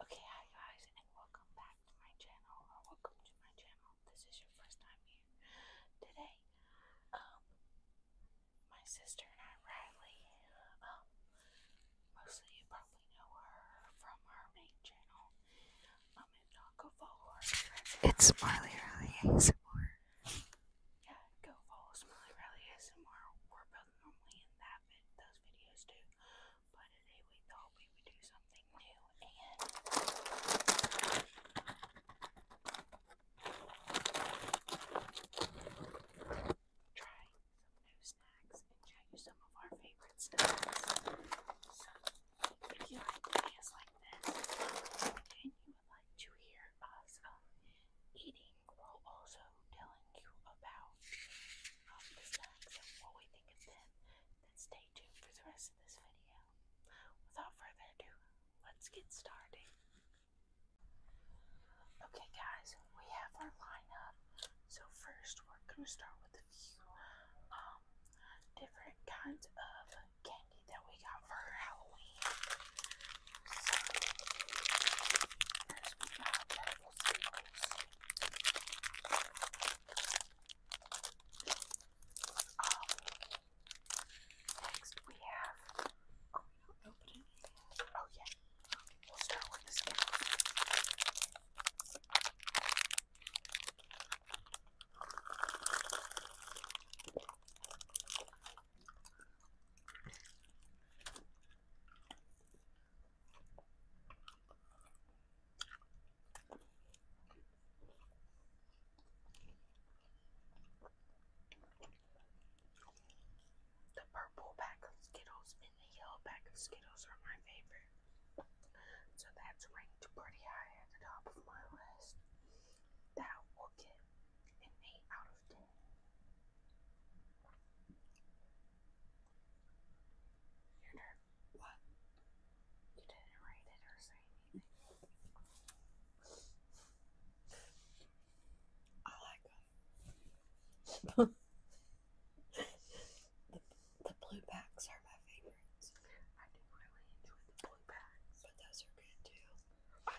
Okay, hi guys, and welcome back to my channel, or welcome to my channel. This is your first time here today. Um, my sister and I, Riley, um, mostly you probably know her from her main channel. Um, it's Smiley Riley ASMR. Yeah, go follow Smiley Riley ASMR does normally in that vid those videos do. But today we thought we would do something new and try some new snacks and show you some of our favorite snacks. So if you like videos like this and you would like to hear us um, eating we'll also telling you about um, the snacks and what we think of them. Then stay tuned for the rest of this video. Without further ado, let's get started. Okay guys, we have our lineup. So first we're gonna start with a few um, different kinds of candy that we got for Halloween. So first we got next we have, oh, yeah, we'll start with this one. The purple pack of Skittles and the yellow pack of Skittles are my favorite. So that's ranked pretty high at the top of my list. That will get an 8 out of 10. Your turn. What? You didn't write it or say anything. I like them. the, the blue packs are my favorites. I do really enjoy the blue packs. But those are good too.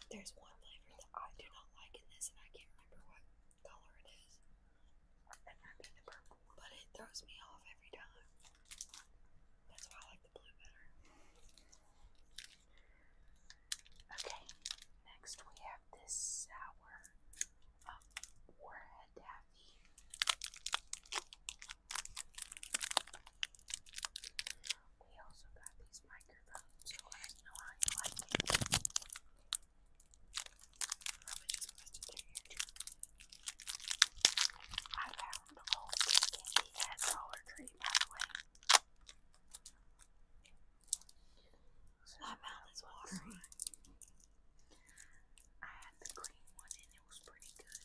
there's one flavor that I do not like in this, and I can't remember what color it is. It might be purple But it throws me off every time. That's why I like the blue better. Okay, next we have this sour um, warhead We also got these microphones, I found old candy at Dollar Tree, by the way. My mouth is watering. I had the green one and it was pretty good.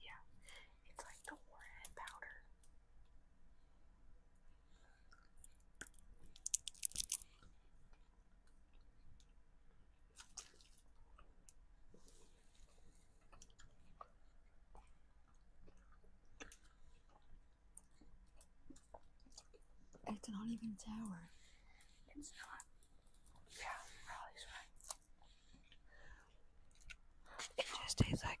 Yeah, it's like the warhead powder. It's not even sour. It's not. Yeah, Riley's right. It just tastes like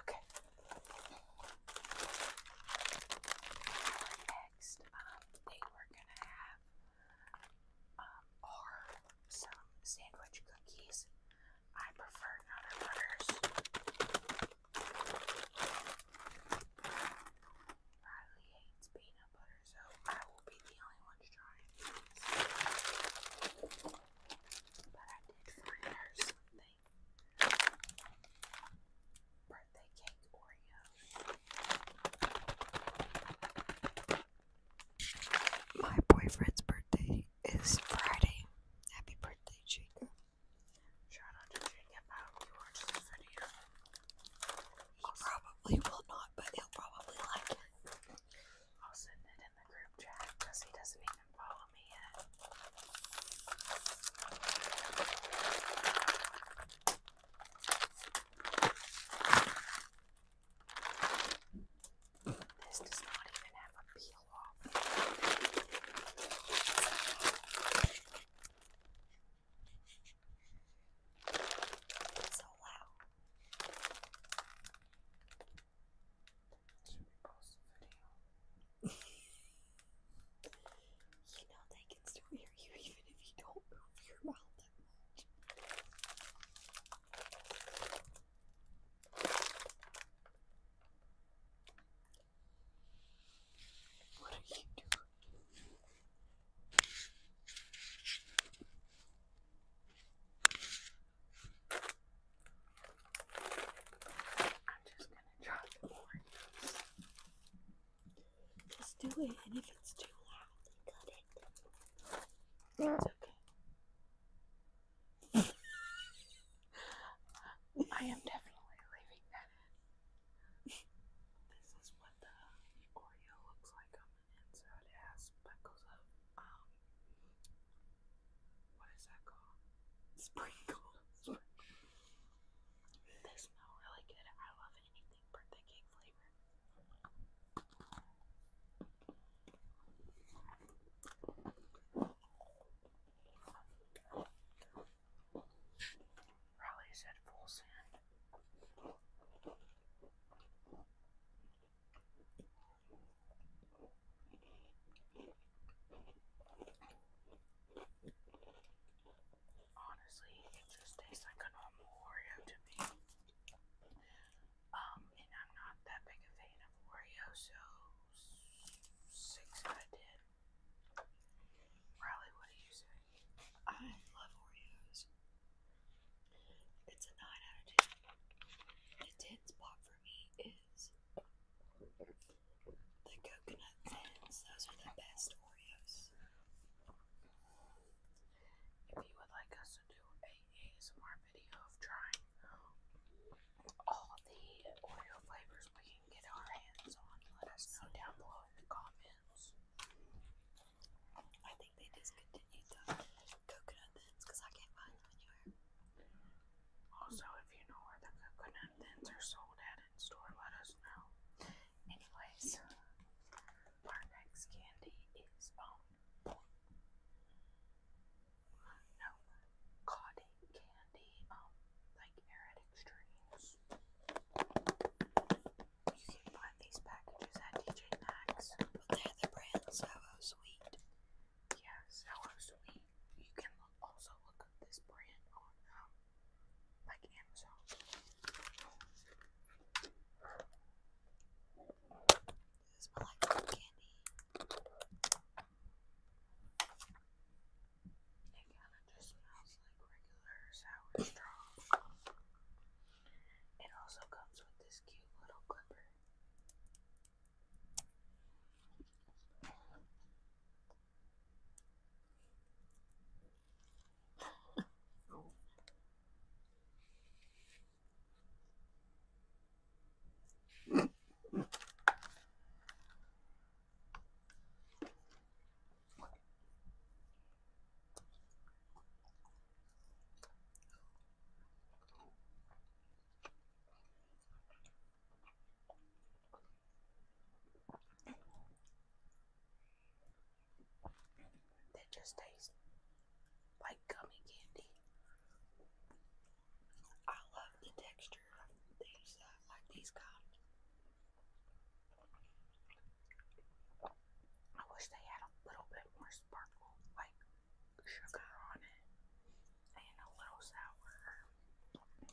Okay. Next, um, they were gonna have um, or some sandwich cookies. I prefer none butters. Riley hates peanut butter, so I be the only ones trying these. But I did find her something. Birthday cake Oreos. My boyfriend's birthday is Friday. Happy birthday, Jake! Try not to drink it, you watch this video. He probably will not, but he'll probably like it. I'll send it in the group chat because he doesn't even follow me yet. This does not even have a peel off. so loud. Should we post a video? you know they can still hear you even if you don't move your mouth that much. What are you doing? I'm just gonna drop the orange. Just do it, and if it's too loud, cut it. It's okay. I am definitely leaving that in. This is what the Oreo looks like inside it has speckles of um what is that called? Sprinkles. they smell really good. I love anything birthday cake flavor. Raleigh said full sand. Honestly, it just tastes like a normal Oreo to me. Um, and I'm not that big a fan of Oreo, so six out of Riley, what do you say? I love Oreos. It's a 9 out of 10. The 10 spot for me is the coconut thins. Those are the best Oreos. If you would like us to do a ASMR video of trying all the Oreo flavors we can get our hands on, let us know down below in the comments. I think they discontinued coconut thins because I can't find them anywhere. Also, if you know where the coconut thins are sold at in store, let us know. Anyways, our next candy is um no cotton candy, um like arid extremes. You can buy these packages at DJ Maxx. But they're the brand Sour Sweet. Yeah, Sour Sweet. You can also look up this brand on um, like Amazon. This is like candy. It kind of just smells like regular sour straw. It also comes with this cute little clipper. That just tastes like gummy candy. I love the texture of these, uh, like these kind. I wish they had a little bit more sparkle, like sugar on it, and a little sour.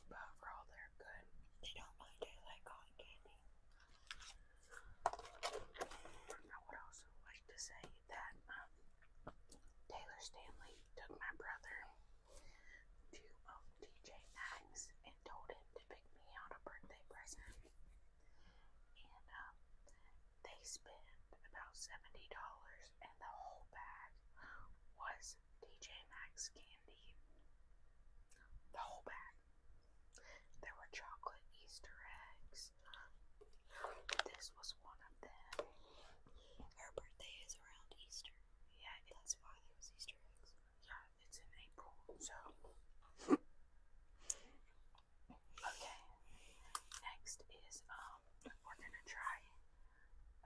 But for all, they're good. They don't mind it like cotton candy. I would also like to say that um, Taylor Stanley took my brother to um, DJ Maxx and told him to pick me out a birthday present and um, they spent about seventy dollars, and the whole bag was DJ Maxx candy. The whole bag. There were chocolate Easter eggs. This was one of them. Her birthday is around Easter. Yeah, that's why there was Easter eggs. Yeah, it's in April, so okay. Next is um we're gonna try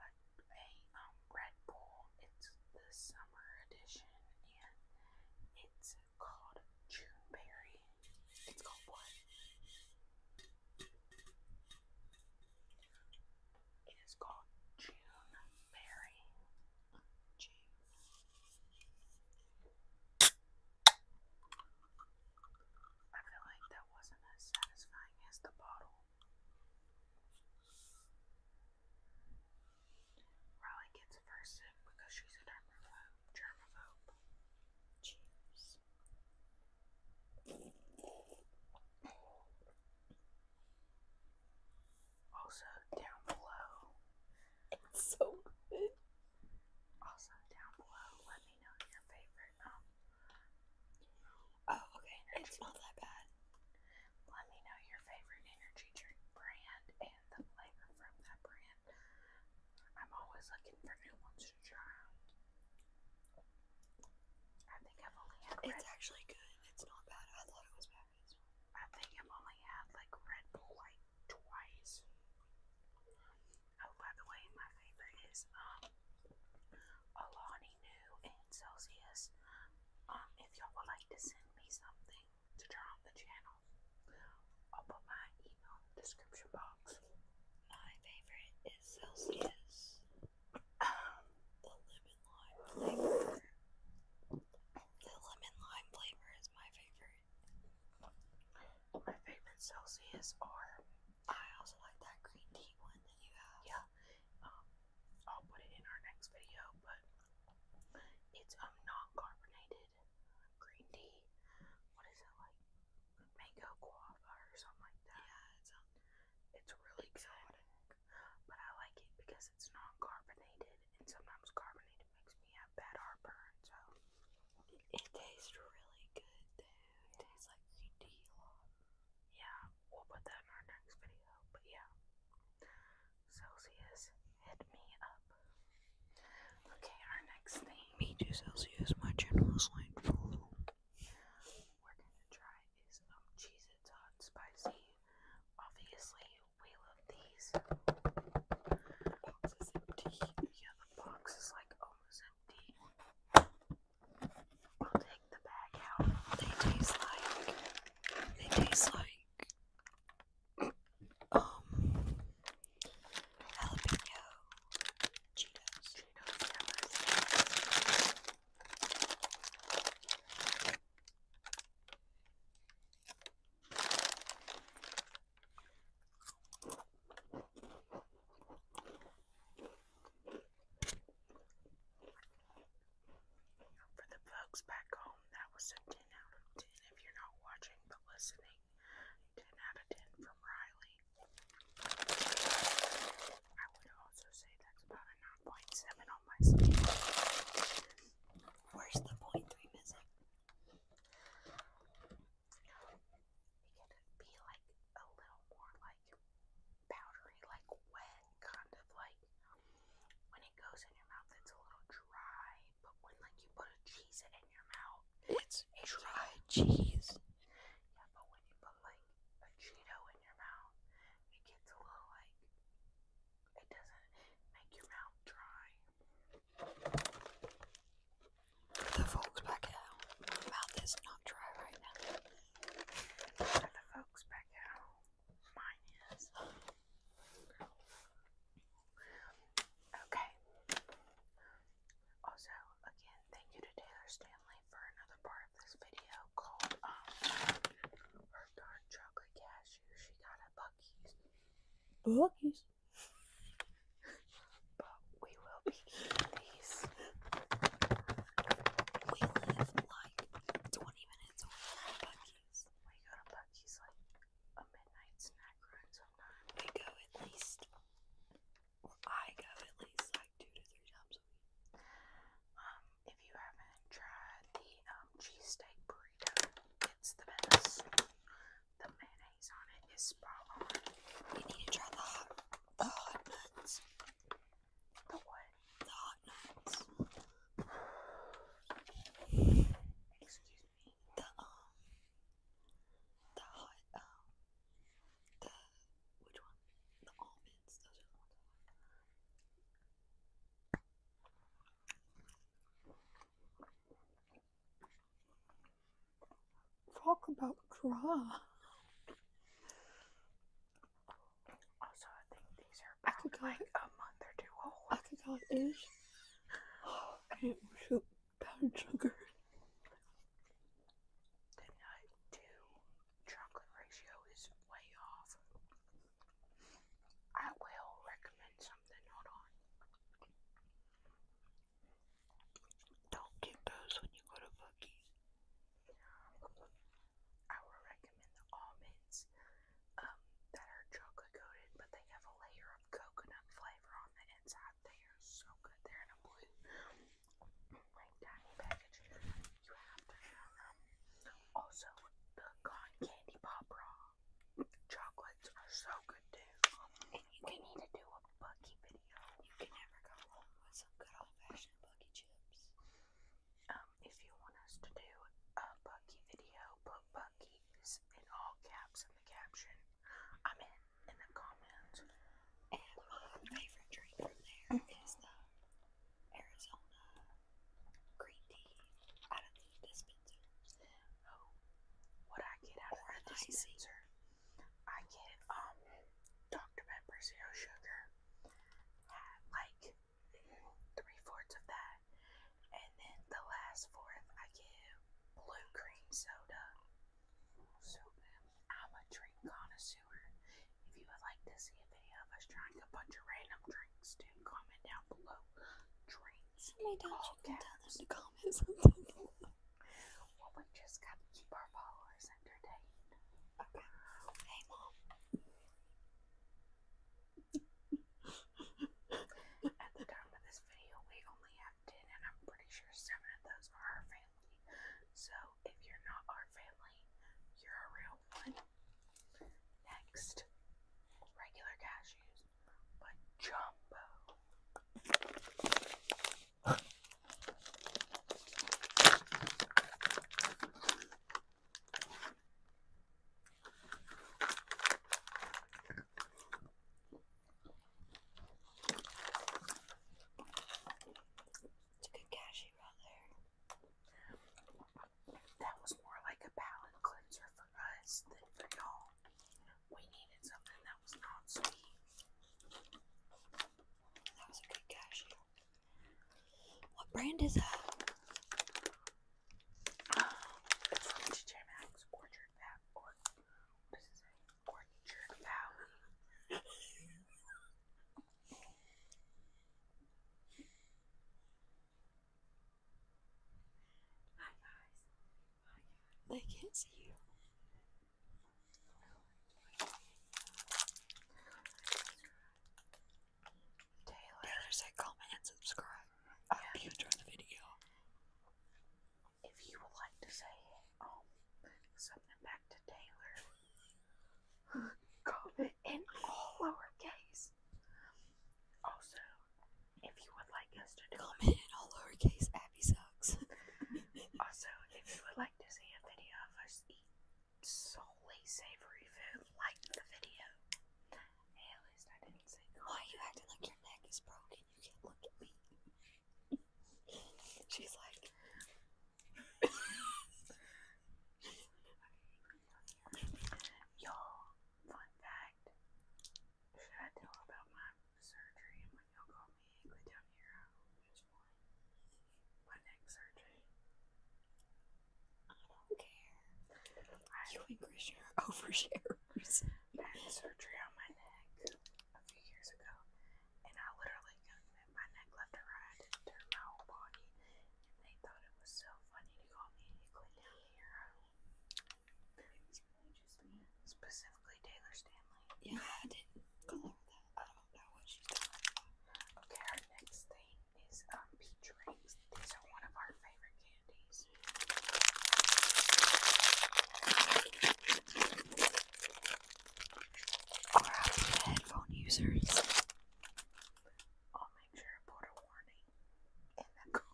a, um Red Bull. It's the summer edition and it's called Juneberry. It's called what? It is called June Berry. I feel like that wasn't as satisfying as the bottle. Riley gets first sip because she's a germaphobe. germaphobe. Cheers. Also down below. so good. Also down below, let me know your favorite. Um, oh, okay. It's not that bad. Let me know your favorite energy drink brand and the flavor from that brand. I'm always looking for new ones to try I think I've only had. It's actually good. It's not bad. I thought it was bad. I think I've only had like Red Bull like twice. Oh, by the way, my favorite is um Alani New and Celsius. Um, if y'all would like to send me something to turn on the channel, I'll put my email in the description box. My favorite is Celsius. Um, the lemon lime flavor. The lemon lime flavor is my favorite. My favorite Celsius are. I also like that green tea one Yeah. Um, I'll put it in our next video, but it's um non-carbonated green tea. What is it like? Mango guava or something like that. Yeah, it's um, it's really exotic. but I like it because it's non-carbonated and sometimes carbonated makes me have bad heartburn. So it, tastes really good, though. tastes like Nutella. Yeah, we'll put that in our next video. But yeah, Celsius hit me up. Okay, our next thing. Me too, Celsius. My channel is like full. We're gonna try is um, cheese. It's hot, spicy. Obviously, we love these. The box is empty. Yeah, the box is like almost empty. I'll take the bag out. They taste like. They taste like. Um. Jalapeno. Cheetos. For the folks back home, that was a 10 out of 10 if you're not watching but listening. 10 out of 10 from Riley. I would also say that's about a 9.7 on my scale. Where's the point three missing? It could be like a little more like powdery, like wet, kind of like when it goes in your mouth, it's a little dry. But when like you put a cheese in your mouth, it's, it's dry cheese. Yeah, but when you put like a Cheeto in your mouth, it gets a little like it doesn't make your mouth dry. The folks back out. My mouth is not dry right now. the folks back out. Mine is. Okay. Also, again, thank you to Taylor Stanley for another part of this video called um, dark truck local cashier. She got a Bucky's. Bucky's. but we will be We live like 20 minutes away from Bucky's. We go to Bucky's like a midnight snack run sometimes. We go at least, or I go at least like two to three times a week. Um, if you haven't tried the um, cheesesteak burrito, it's the best. The mayonnaise on it is spot on. You need to try the hot, the hot nuts. The what? The hot nuts. Excuse me. The um. The hot um. The which one? The almonds. Talk about draw. Also, I think these are like a month or two old. I could call I didn't powdered sugar. The nut to chocolate ratio is way off. I will recommend something. Hold on. Don't get those when you go to Bucky's. I will recommend the almonds um, that are chocolate coated, but they have a layer of coconut flavor on the inside. They are so good. They're in a blue, like tiny package you have to have them. Also, the cotton candy pop raw chocolates are so good too. And need to do a Bucky video. You can never go wrong with some good old fashioned Bucky chips. Um, if you want us to do a Bucky video, put Bucky's in all caps in the caption. I mean, in the comments. my favorite drink from there is the Arizona green tea out of the dispenser. Oh, what I get out of the dispenser, I get um Dr. Pepper Zero Sugar like three fourths of that, and then the last fourth I get blue cream soda. So I'm a drink connoisseur. If you would like to see a video of us trying a bunch of random drinks, do comment down below. Drinks. Why don't you to comment something? we just got to keep our followers entertained. Hey, Mom. At the time of this video, we only have 10, and I'm pretty sure 7 of those are our family. So, if you're not our family, you're a real one. Next, regular cashews, but jumbo. It's a good cashew right that was more like a palate cleanser for us than for y'all. We needed something that was not sweet. That was a good cashew. What brand is that? Um, it's from TJ Maxx, Orchard Valley, what does it say? Orchard Valley. Hi guys. They can't see you. Taylor, say comment and subscribe. I hope you enjoyed the video. If you would like to say um, something back to Taylor, COVID in all lowercase. Also, if you would like us to comment in all lowercase, Abby sucks. also, if you would like to see a video of us eat solely savory food, like the video. at least I didn't say Why are you acting like your neck is broken? You can't look at me. She's like, you fun fact. Should I tell about my surgery and when y'all call me go down here? my neck surgery. I don't care. you and Chris are I had surgery on my neck a few years ago, and I literally my neck left or right. I didn't turn my whole body. And they thought it was so funny to call me a clown hero. It's Specifically Taylor Stanley. Yeah, I didn't call her I don't know what she's talking Okay, our next thing is um peach rings. These are one of our favorite candies. Alright, headphone users. I'll make sure to put a warning in the car.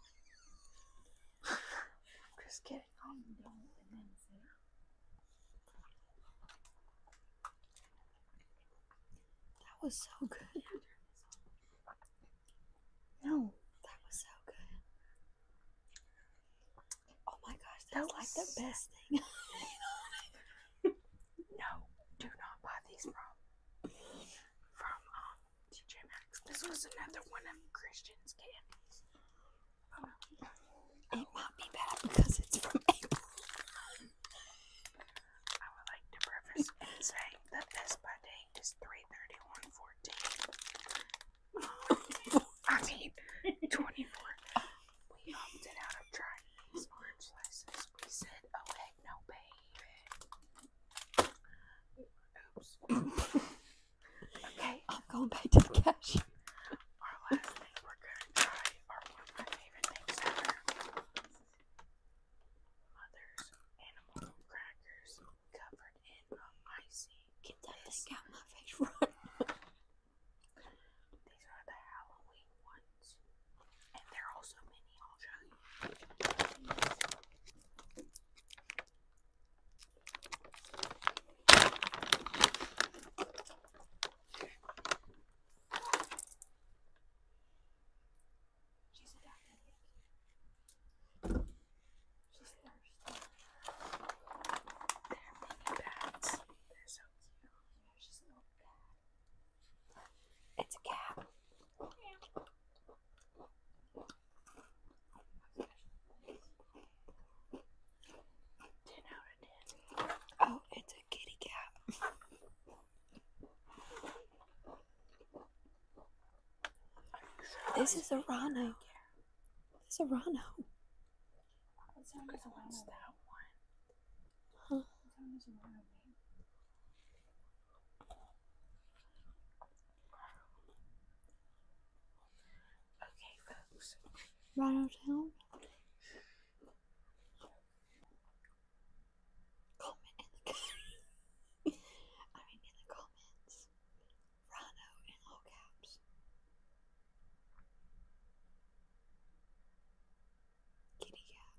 I'm just kidding. That was so good. No, that was so good. Oh my gosh, that was like the best thing. no, do not buy these from from um TJ Maxx. This was another one of Christian's candies. Oh. it might be bad because it's from April. I would like to preface and say that this by date is three thirty one fourteen. I mean twenty four. We opted out of trying these orange slices. We said, oh heck no, baby. okay. I'm going back to the cash. Our last thing we're going to try are one favorite things ever. Mother's animal crackers covered in a Get that thing out my face, These are the Halloween ones. And there are also many, I'll show you. She's adapted. She's They're mini bats. They're so cute. It's a cat. Oh, it's a kitty cat. this is a rhino. This is a rhino. What sound is what's that one? Okay, folks. Rhino Comment in the I mean in the comments. Rhino in all caps. Kitty cat.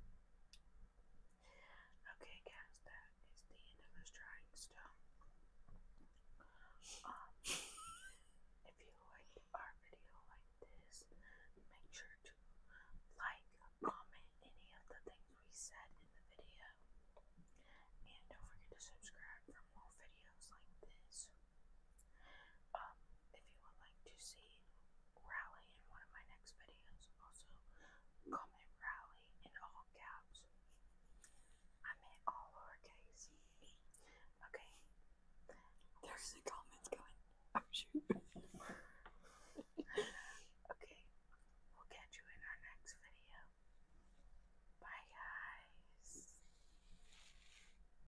Okay, guys, that is the end of us trying stuff. Um, if you liked our video like this, make sure to like, comment any of the things we said in the video, and don't forget to subscribe for more videos like this. Um, if you would like to see Rally in one of my next videos, also comment Rally in all caps. I meant all lowercase. Okay. There's the comments going. Oh, okay. We'll catch you in our next video. Bye, guys.